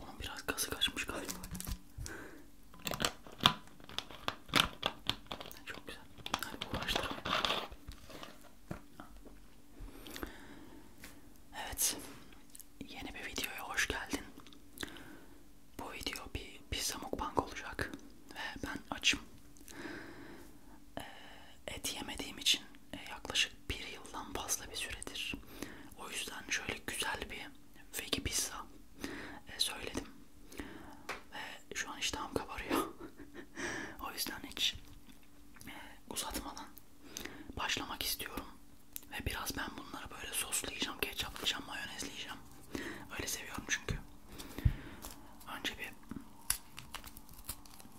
Bunun biraz gazı kaçmış galiba. Çok güzel. Hadi uğraştıralım. Evet. Yeni bir videoya hoş geldin. Bu video bir pizza mukbang olacak ve ben açım. Ee, et yemediğim için e, yaklaşık bir yıldan fazla bir süredir. O yüzden şöyle güzel bir vegi pizza e, söyledim. Ve şu an iştahım kabarıyor. o yüzden hiç e, uzatmadan başlamak istiyorum. Ve biraz ben bunları böyle soslayacağım, ketçaplayacağım, mayonezleyeceğim. Öyle seviyorum çünkü. Önce bir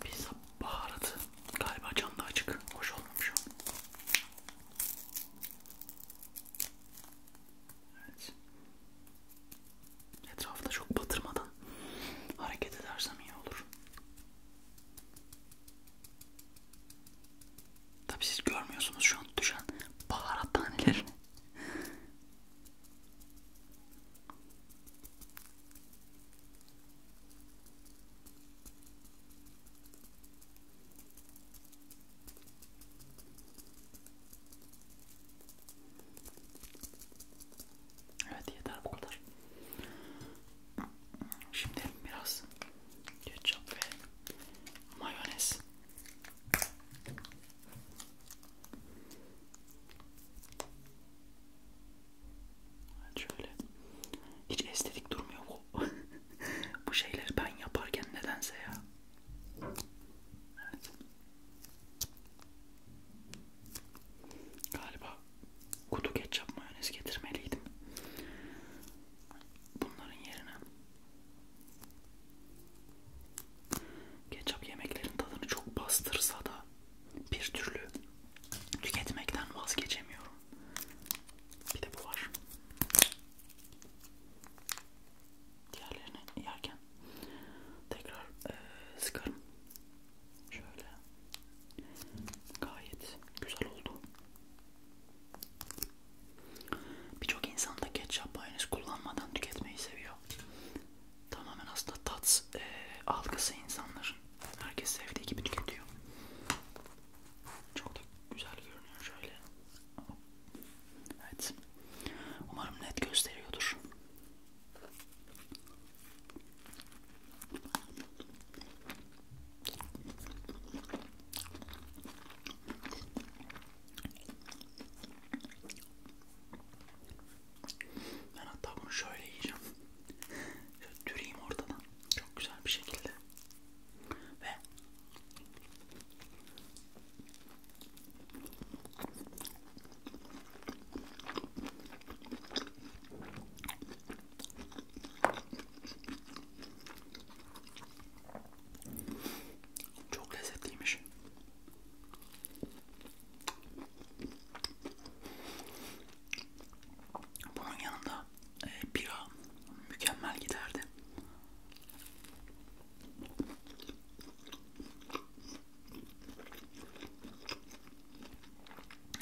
pizza baharatı galiba canlı açık. Hoş olmamış o. Evet. Etrafta çok batırmadan hareket edersem iyi olur. Tabii siz görmüyorsunuz şu an düşen baharat tanelerini. Evet yeter bu kadar. Şimdi biraz ketçap ve mayonez. Evet şöyle. Hiç estetik durmuyor bu. bu şeyleri ben yaparken nedense ya. Evet. Galiba kutu ketçap mayonez getirmeliydim. Bunların yerine Ketçap yemeklerin tadını çok bastırsa da bir türlü tüketmekten vazgeçemiyorum. Bir de bu var. Diğerlerini yerken tekrar e, sıkarım. Şöyle. Gayet güzel oldu. Birçok insan da ketçap mayonez kullanmadan tüketmeyi seviyor oluyor. Tamamen aslında tat e, algısı insanların. Herkes sevdiği gibi tüketiyor. Çok da güzel görünüyor şöyle. Evet. Umarım net gösteriyordur. Ben hatta bunu şöyle yiyeceğim. Şöyle düreyim ortadan. Çok güzel bir şekilde. Ve çok lezzetliymiş. Bunun yanında e, bira mükemmel giderdi.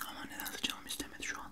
Ama nedense canım istemedi şu an.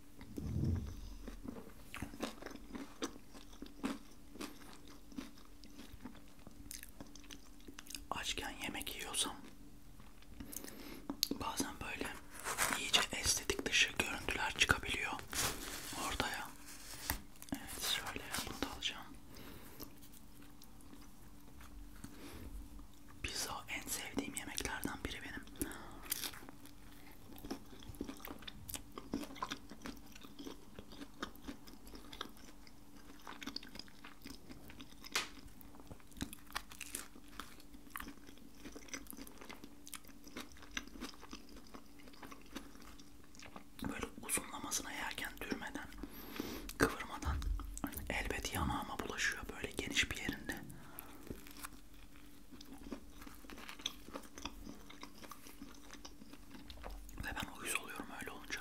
Açken yemek yiyorsam bazen böyle iyice estetik dışı görüntüler çıkabiliyor ortaya. Evet şöyle bunu da alacağım. Pizza en sevdiğim yemeklerden biri benim. Böyle uzunlamasına yerken dürmeden, kıvırmadan elbet yanağıma bulaşıyor böyle geniş bir yerinde. Ve ben uyuz oluyorum öyle olunca.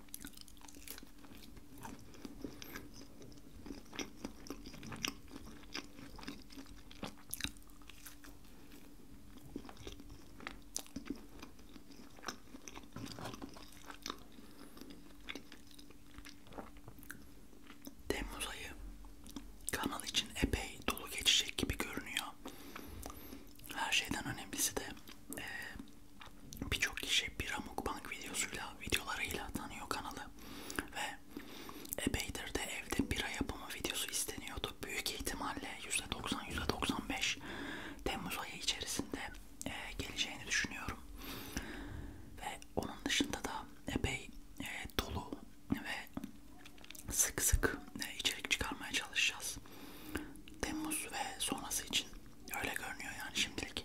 Temmuz ayı kanal için epey dolu geçecek gibi görünüyor. Her şeyden önemlisi de e, birçok kişi bir mukbang videosuyla videolarıyla tanıyor kanalı ve Ebeydir'de evde bira yapımı videosu isteniyordu. Büyük ihtimalle %90-%95 Temmuz ayı içerisinde e, geleceğini düşünüyorum. Ve onun dışında da epey e, dolu ve sık sık e, içerik çıkarmaya çalışacağız. Temmuz ve sonrası için öyle görünüyor yani şimdilik.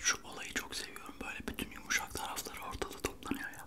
Şu olayı çok seviyorum. Böyle bütün yumuşak tarafları ortada toplanıyor ya.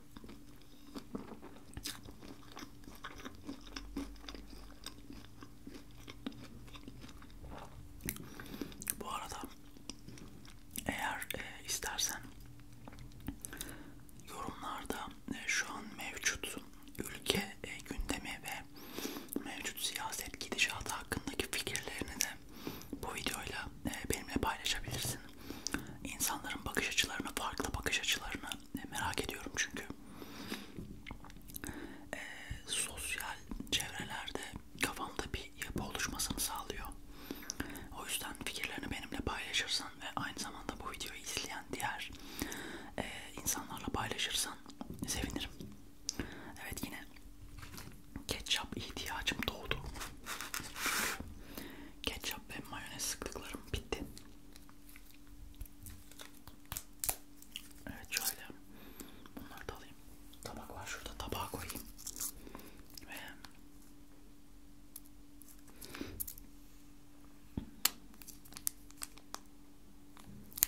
Bu arada eğer e, istersen yorumlarda e, şu an mevcut ülke e, gündemi ve mevcut siyaset gidişatı hakkındaki fikirlerini de bu videoyla e, benimle paylaşabilirsin. İnsanların bakış açılarını, farklı bakış açılarını e, merak ediyorum çünkü. E, sosyal çevrelerde kafamda bir yapı oluşmasını sağlıyor. O yüzden fikirlerini benimle paylaşırsan ve aynı zamanda bu videoyu izleyen diğer e, insanlarla paylaşırsan sevinirim. Evet yine ketçap ihtiyacım doğdu. ketçap ve mayonez sıktıklarım bitti. Evet şöyle bunları da alayım. Tabak var şurada tabağa koyayım. Ve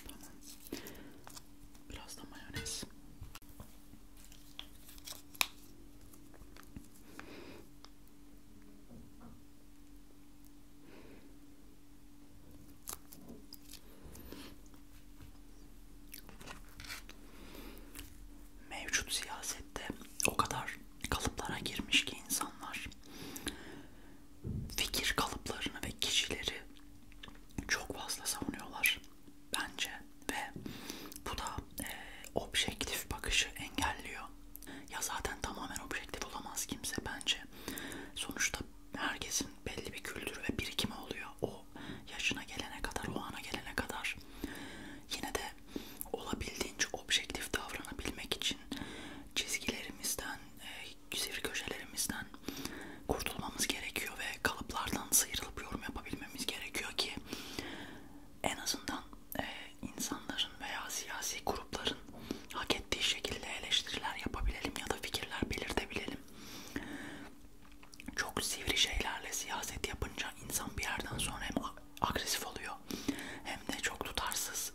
Tamam. Biraz da mayonez. Mevcut siyasette o kadar kalıplara girmiş ki insanlar fikir kalıplarını ve kişileri çok fazla savunuyorlar bence ve bu da e, objektif bakışı engelliyor. Ya zaten tamamen objektif olamaz kimse bence. Sonuçta herkesin belli bir kültürü ve birikimi oluyor. O yaşına gelene kadar, o ana gelene kadar. Yine de olabildiğince objektif davranabilmek için çizgilerimizden, e, sivri köşelerimizden kurtulmamız gerekiyor ve kalıplardan sıyrılıp yorum yapabilmemiz gerekiyor ki ki en azından e, insanların veya siyasi grupların hak ettiği şekilde eleştiriler yapabilelim ya da fikirler belirtebilelim. Çok sivri şeylerle siyaset yapınca insan bir yerden sonra hem agresif oluyor hem de çok tutarsız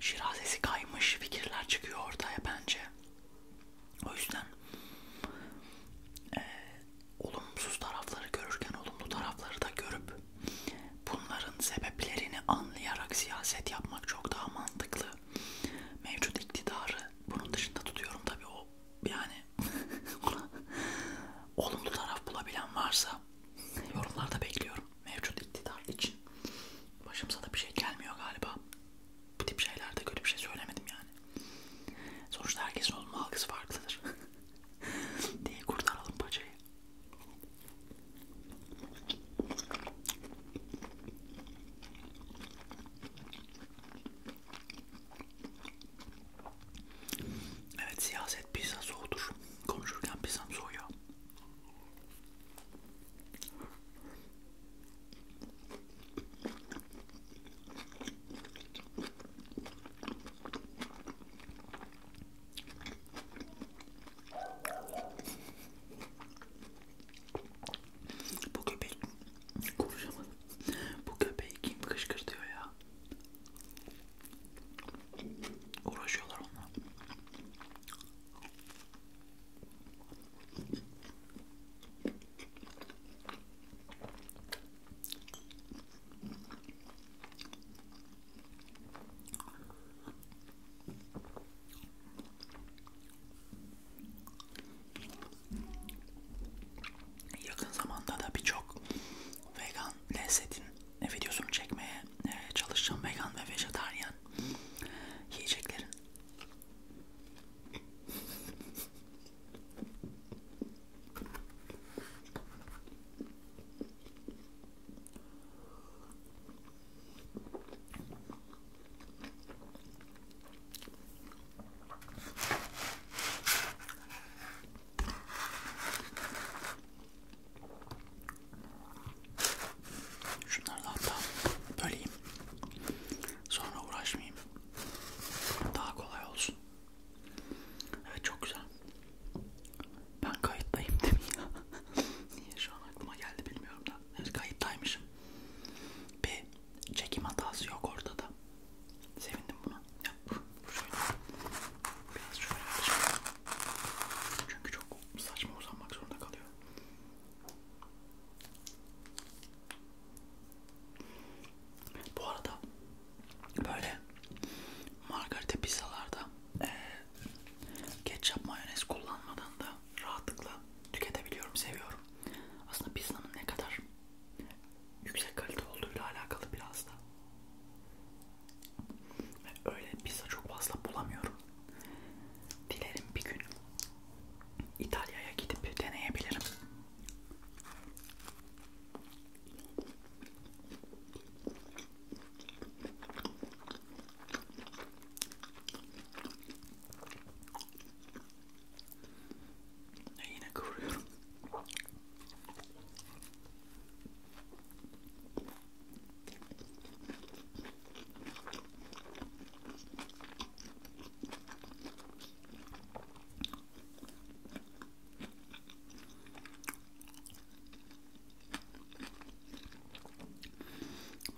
şirazesi kaymış fikirler çıkıyor ortaya bence. O yüzden e, olumsuz tarafları görürken olumlu tarafları da görüp bunların sebeplerini anlayarak siyaset yapmak çok daha mantıklı. Mevcut iktidarı bunun dışında tutuyorum tabii o yani olumlu taraf bulabilen varsa yorumlarda bekliyorum mevcut iktidar için. Başımıza da bir şey gelmiyor galiba bu tip şeylerde kötü bir şey söylemedim yani. Sonuçta herkesin olma algısı farklıdır. diye kurtaralım paçayı. Evet siyaset pizza soğudur. Konuşurken pizzam soğuyor. Bu köpek konuşamadım. Bu köpeği kim kışkırtıyor ya? Uğraşıyorlar onunla. Yakın zamanda da birçok vegan lezzetin videosunu çekmeye e, çalışacağım. Vegan ve vejetaryen yiyeceklerin. Şunları da hatta böleyim. Sonra uğraşmayayım. Daha kolay olsun. Evet çok güzel. Ben kayıttayım değil mi ya? Niye şu an aklıma geldi bilmiyorum da. Evet kayıttaymışım. Bir çekim hatası yok ortada. Sevindim buna. Ya, şöyle. Biraz şöyle yapacağım. Çünkü çok saçma uzanmak zorunda kalıyor. Bu arada böyle margarita pizzalarda e, ketçap mayonez kullanmadan da rahatlıkla tüketebiliyorum, seviyorum. Aslında pizzanın ne kadar yüksek kalite olduğuyla alakalı biraz da. Öyle pizza çok fazla bulamıyorum. Dilerim bir gün İtalya'ya gidip deneyebilirim. E yine kıvırıyorum.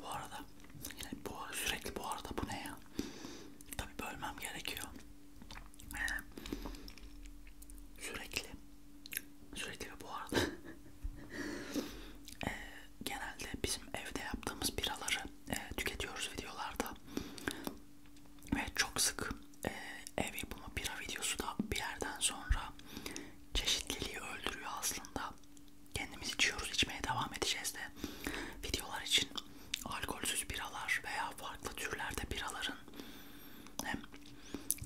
Bu arada yani bu sürekli bu arada bu ne ya? Tabi bölmem gerekiyor. Yani sürekli sürekli bu arada ee, genelde bizim evde yaptığımız biraları e, tüketiyoruz videolarda ve çok sık e, ev yapımı bira videosu da bir yerden sonra çeşitliliği öldürüyor aslında. Kendimiz içiyoruz, içmeye devam edeceğiz de videolar için alkolsüz biralar veya farklı türlerde biraların hem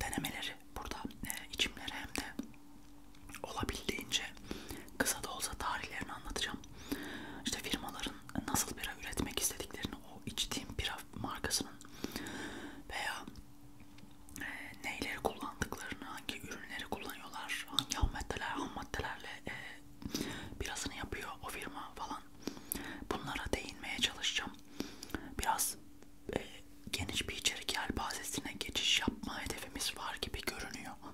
denemeleri burada e, içimleri hem de olabildiğince kısa da olsa tarihlerini anlatacağım. İşte firmaların nasıl bira üretmek istediklerini, o içtiğim bira markasının veya e, neyleri kullandıklarını, hangi ürünleri kullanıyorlar, hangi ham maddeler, ham maddelerle e, birasını yapıyor o firma falan. Bunlara değinmeye çalışacağım. Biraz e, geniş bir içerik yelpazesine geçiş yapma hedefimiz var gibi görünüyor.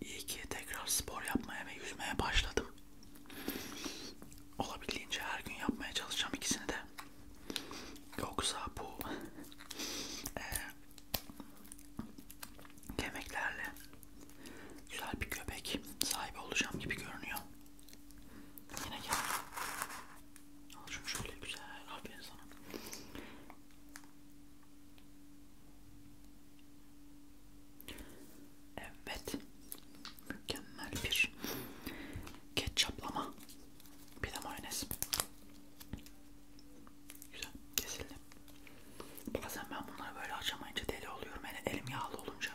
İyi ki tekrar spor yapmaya ve yüzmeye başladım. Olabildiğince her gün yapmaya çalışacağım ikisini de. Yoksa bu e, yemeklerle güzel bir köpek sahibi olacağım gibi görünüyor. Yine gel. Al şunu şöyle güzel. Aferin sana. Evet. Mükemmel bir ketçaplama. Bir de mayonez. Güzel. Kesildi. Bazen ben bunları böyle açamayınca deli oluyorum. Yani elim yağlı olunca.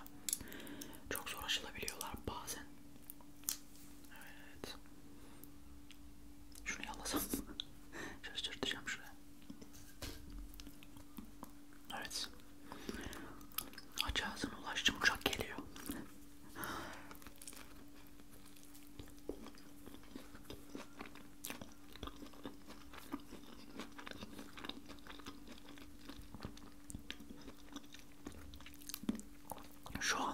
Çok zor açılabiliyorlar bazen. Evet. Şunu yalasam mı? Şaşırtacağım şuraya. Evet. Aç ağzına ulaştım. Uçak geliyor şu an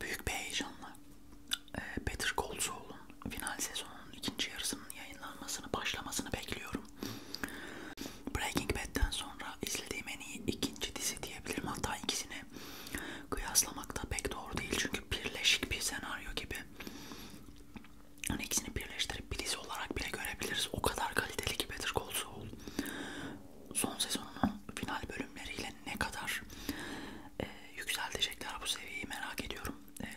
büyük bir heyecanla Better Call Saul'un final sezonunun ikinci yarısının yayınlanmasını başlamasını bekliyorum. Breaking Bad'den sonra izlediğim en iyi ikinci dizi diyebilirim. Hatta ikisini kıyaslamak da pek doğru değil çünkü birleşik bir senaryo gibi. Yani ikisini birleştirip bir dizi olarak bile görebiliriz. O kadar kaliteli ki Better Call Saul. Son sezonunun final bölümleriyle ne kadar e, yükseltecekler bu seviyeyi merak ediyorum. E,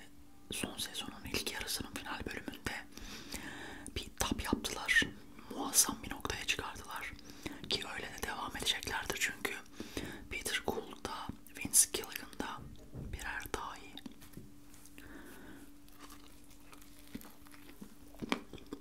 son sezonun ilk yarısının final bölümünde bir tap yaptılar. Muazzam bir noktaya çıkardılar. Ki öyle de devam edeceklerdir çünkü Peter Gould'da, Vince Gilligan'da birer daha iyi.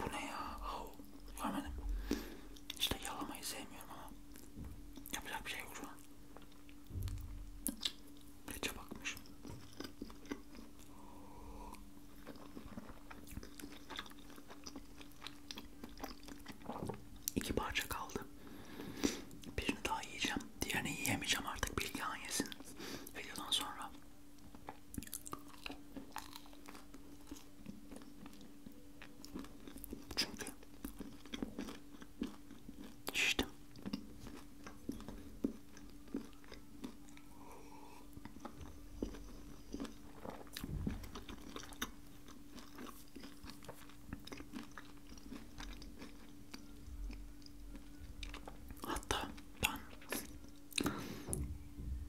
Bu ne ya? Oh, görmedim. İşte yalamayı sevmiyorum ama yapacak bir şey yok şu an. Reçe bakmış. İki parça kaldı. Birini daha yiyeceğim. Diğerini yiyemeyeceğim artık. Bilgehan yesin videodan sonra. Çünkü şiştim. Hatta ben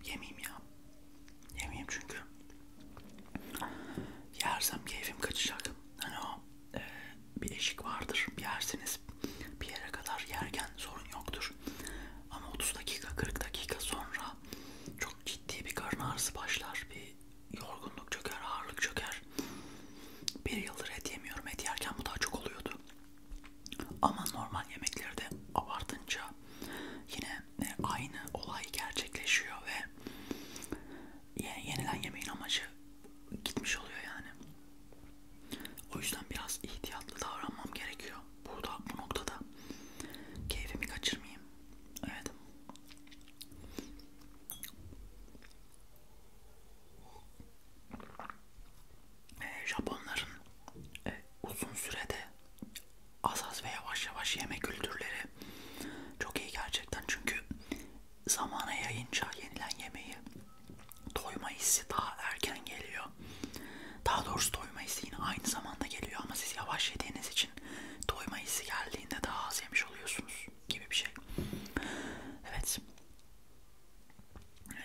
yemeyeyim ya. Yemeyeyim çünkü yersem keyfim kaçacak. Hani o e, bir eşik vardır. Yersiniz bir yere kadar yerken sorun yoktur. Ama 30 dakika 40 dakika sonra çok ciddi bir karın ağrısı başlar. Bir yorgunluk çöker, ağırlık çöker var. Bir yıldır et yemiyorum. Et yerken bu daha çok oluyordu. Ama normal yemeklerde abartınca yine e, aynı olay gerçekleşiyor ve yenilen yemeğin amacı gitmiş oluyor yani. O yüzden biraz ihtiyatlı davranmam gerekiyor. Burada bu noktada keyfimi kaçırmayayım. Evet e, Japonların e, uzun sürede az az ve yavaş yavaş yeme kültürleri çok iyi gerçekten çünkü zamana yayınca yenilen yemeği doyma hissi daha erken geliyor. Daha doğrusu doyma hissi yine aynı zamanda geliyor ama siz yavaş yediğiniz için doyma hissi geldiğinde daha az yemiş oluyorsunuz gibi bir şey. Evet. Ee,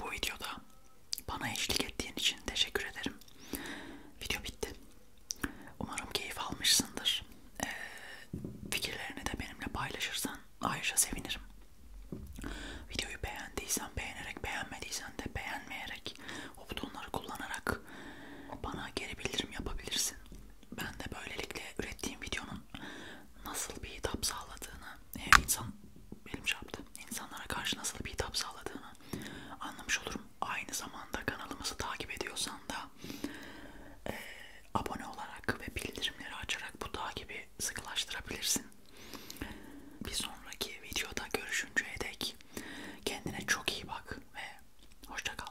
bu videoda bana eşlik ettiğin için teşekkür ederim. Video bitti. Umarım keyif almışsındır. Ee, fikirlerini de benimle paylaşırsan ayrıca sevinirim. Videoyu beğendiysen beğenerek, beğenmediysen de beğenmeyerek, o butonları kullanarak bana geri bildirim yapabilirsin ben de böylelikle ürettiğim videonun nasıl bir hitap sağladığını, e, insan benim çaptı, şey insanlara karşı nasıl bir hitap sağladığını anlamış olurum. Aynı zamanda kanalımızı takip ediyorsan da e, abone olarak ve bildirimleri açarak bu takibi sıkılaştırabilirsin. Bir sonraki videoda görüşünceye dek kendine çok iyi bak ve hoşça kal.